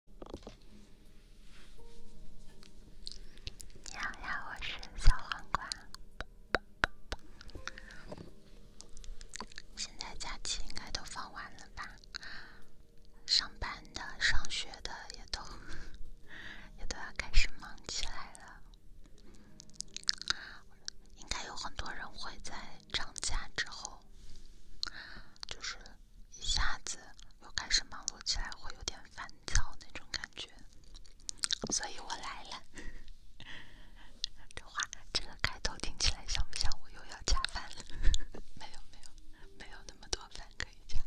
你好呀，我是小黄瓜。现在假期应该都放完了吧？上班的、上学的也都也都要开始忙起来了。应该有很多人会在长假之后，就是。一下子又开始忙碌起来，会有点烦躁那种感觉，所以我来了。这话这个开头听起来像不像我又要加班了？没有没有，没有那么多饭可以加。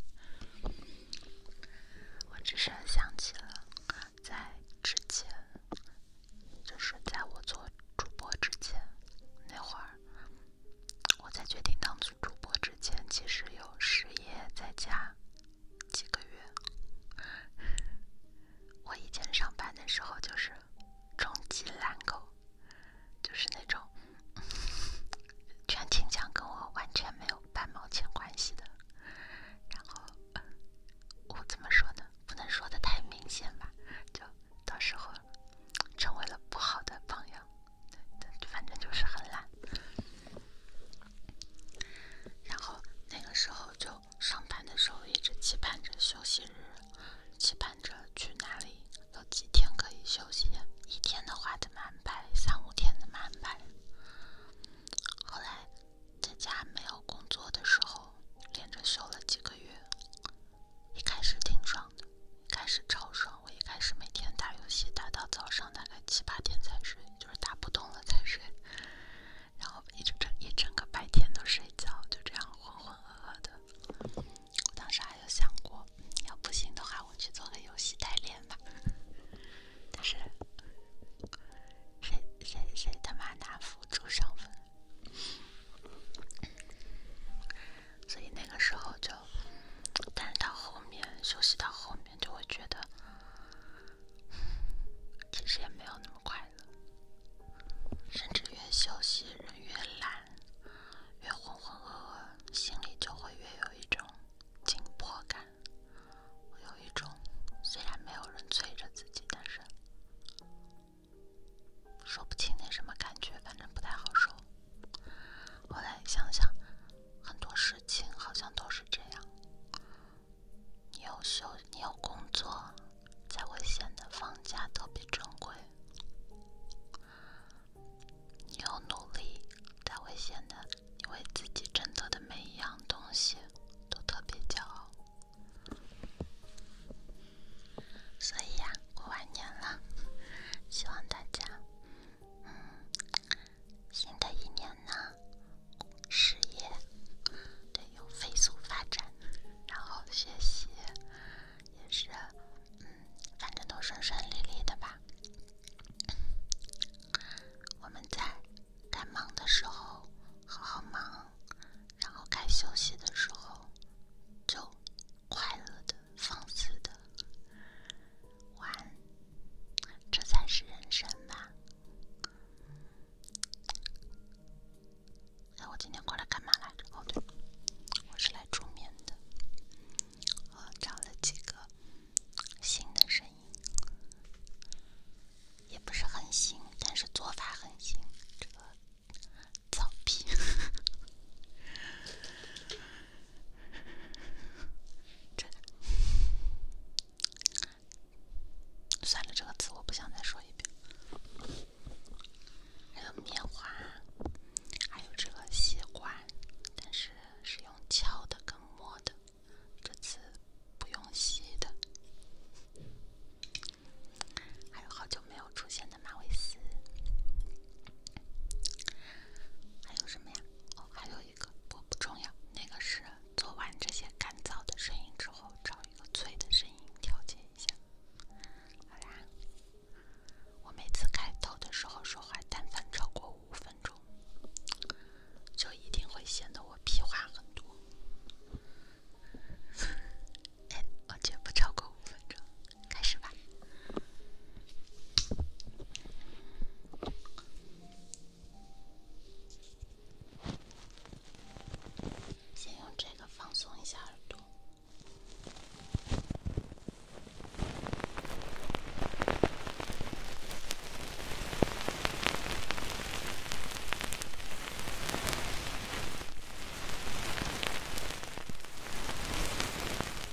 我只是想起了在之前，就是在我做主播之前那会儿。我在决定当主播之前，其实有失业在家几个月。我以前上班的时候就是终极懒狗，就是那种全勤奖跟我完全没有半毛钱关系的。然后我怎么说呢？不能说的太明显吧，就到时候成为了不好的榜样。对的，反正就是很懒。然后那个时候就上班的时候一直期盼着休息日，期盼着去哪里，有几天可以休息。一天的话怎么安排？三五天怎的满百。后来在家没有工作的时候，连着休了几个月，一开始挺爽。开始超爽，我一开始每天打游戏打到早上大概七八点才睡，就是打不动了才睡，然后一直整一整个白天都睡觉，就这样浑浑噩噩的。我当时还有想过，要不行的话我去做个游戏代练吧，但是谁谁谁他妈拿辅助上分？所以那个时候就，但是到后面休息到后面就会觉得，其实也没有那么快乐，甚至越休息人越懒，越浑浑噩噩，心里就会越有一种紧迫感，有一种虽然没有人催着自己，但是说不清那什么感觉，反正不太好受。后来想想，很多事情好像都是这样：你有休，你有工作，才会显得放假特别珍贵；你有努力，才会显得你为自己挣得的每一样东西都特别骄傲。所以呀，过完年了，希望大家。嗯，新的一年呢，事业得有飞速发展，然后学习也是，嗯，反正都顺顺利利的吧。我们在该忙的时候好好忙，然后该休息的时候就快乐的。放肆的玩，这才是人生吧！那我今天过来干嘛来着？哦对，我是来助眠的。我找了几个新的声音，也不是很新，但是做法很新。这个草皮。真 算了，这个词我不想再说一遍。还有棉花，还有这个吸管，但是是用敲的跟摸的，这次不用吸的。还有好久没有出现的马尾丝。还有什么呀？哦，还有一个，不过不重要。那个是做完这些干燥的声音之后，找一个脆的声音调节一下。好啦，我每次开头的时候说话，但凡超过五分钟，就一定会显得我屁话很多。哎，而且不超过五分钟。开始吧，先用这个放松一下耳朵。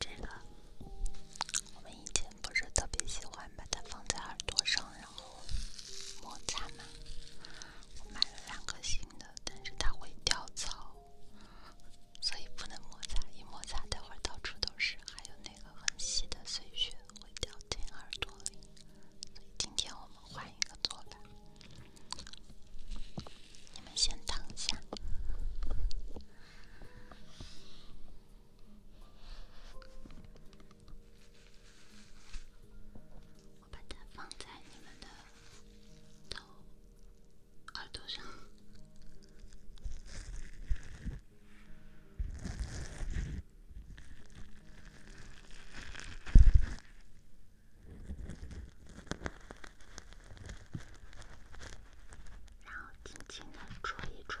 这个，我们一起。不是特别喜欢把它放在耳朵上，然后摩擦嘛。我买了两个新的，但是它会掉草，所以不能摩擦，一摩擦待会儿到处都是，还有那个很细的碎屑会掉进耳朵里，今天我们换一个做法。你们先躺下。我把它放在你们的耳朵上，然后轻轻地戳一戳。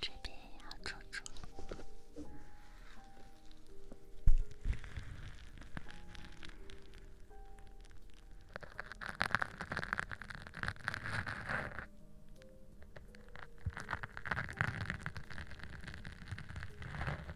这边呀，猪猪。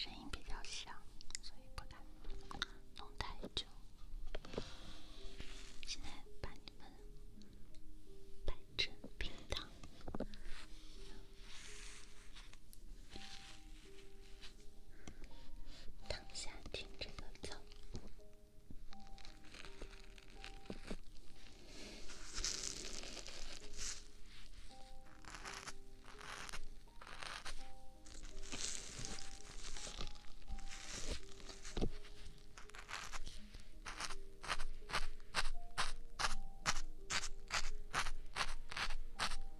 声音比较响，所以不敢弄太久。现在把你们变成冰糖。躺下听这个早。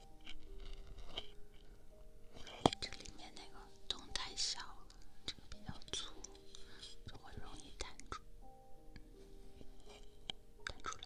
这里面那个洞太小了，这个比较粗，就会容易弹出，弹出来。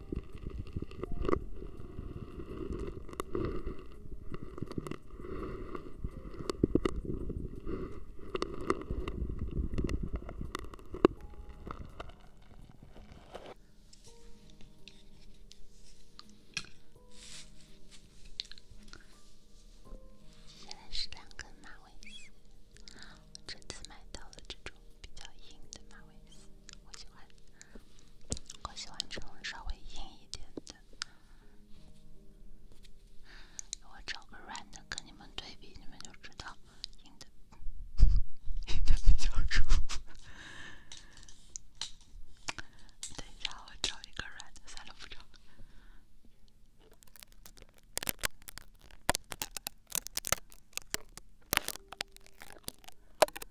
现在是两根马尾我这次买到了这种比较硬的马尾。我喜欢，我喜欢这种稍微硬一点的。我找个软的跟你们对比，你们就知道硬的硬的比较舒服。等一下，我找一个软的，算了，不找了。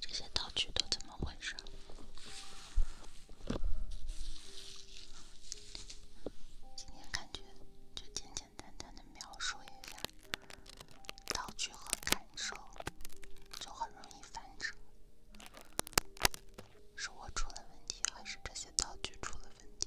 这些道具都怎么回事？今天感觉就简简单单的描述一下道具和感受，就很容易反折。是我出了问题，还是这些道具出了问题？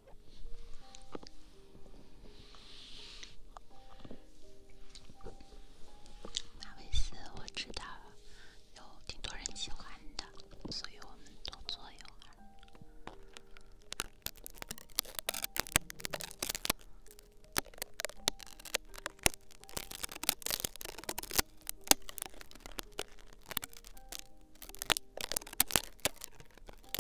马维斯，我知道，有挺多人喜欢的，所以我们多做一会儿。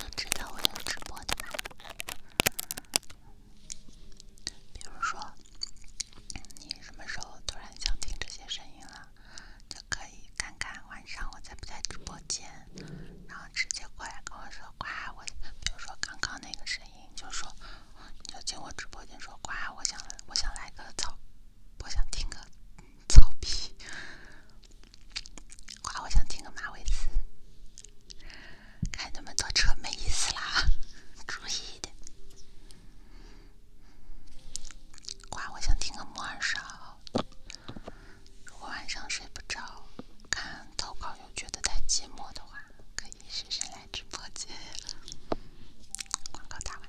都知道我在直播的？比如说，你什么时候突然想听这些声音了，就可以看看晚上我在不在直播间，然后直接过来跟我说“瓜”。我比如说刚刚那个声音，就说你就进我直播间说“瓜”，我想我想来个草，我想听个草皮，瓜，我想听个马尾丝。开那么多车没意思啦，注意一点。哇，我想听个磨耳朵。如果晚上睡不着，看投稿又觉得太寂寞的话，可以试试来直播间广告打完了。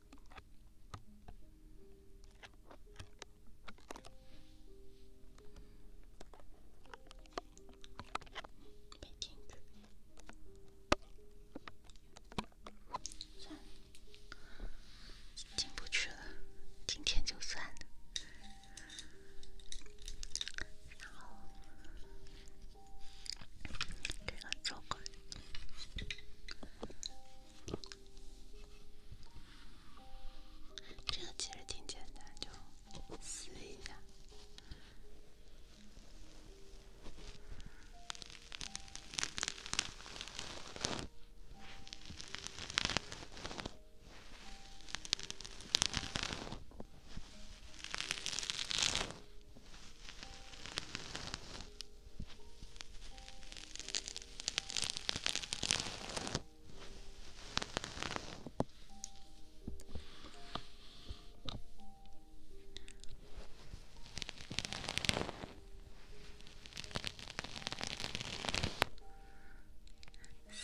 没进去，算了，进不去了，今天就算了。然后这个这个其实挺简单，就撕一下。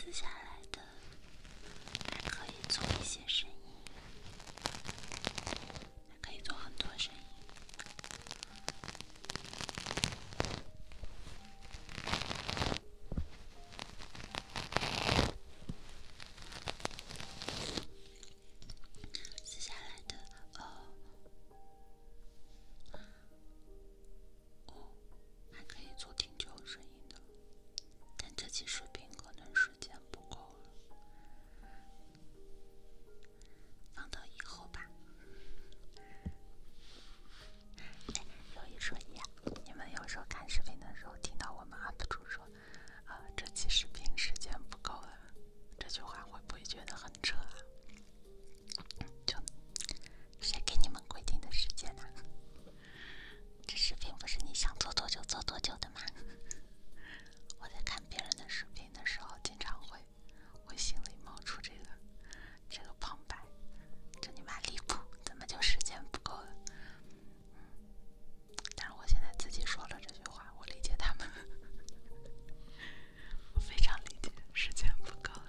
撕下来的还可以做一些声音，还可以做很多声音。撕下来的哦哦，还可以做挺久声音的，但这期视频可能时间不够了。放到以后吧。有一说一，你们有时候看视频的时候，听到我们 UP 主说“啊，这期视频时间不够了”，这句话会不会觉得很扯啊？就谁给你们规定的时间呢？这视频不是你想做多久做多久的吗？我在看别人的视频的时候，经常会。我心里冒出这个，这个旁白，真你妈离谱！怎么就时间不够了？但是我现在自己说了这句话，我理解他们，我非常理解，时间不够了。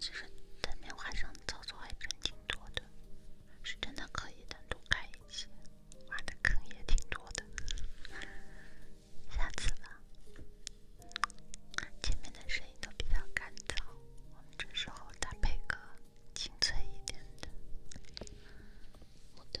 其实，在棉花上操作还真挺多的。是真的可以单独开一些，挖的坑也挺多的。下次吧。前面的声音都比较干燥，我们这时候搭配个清脆一点的，好的。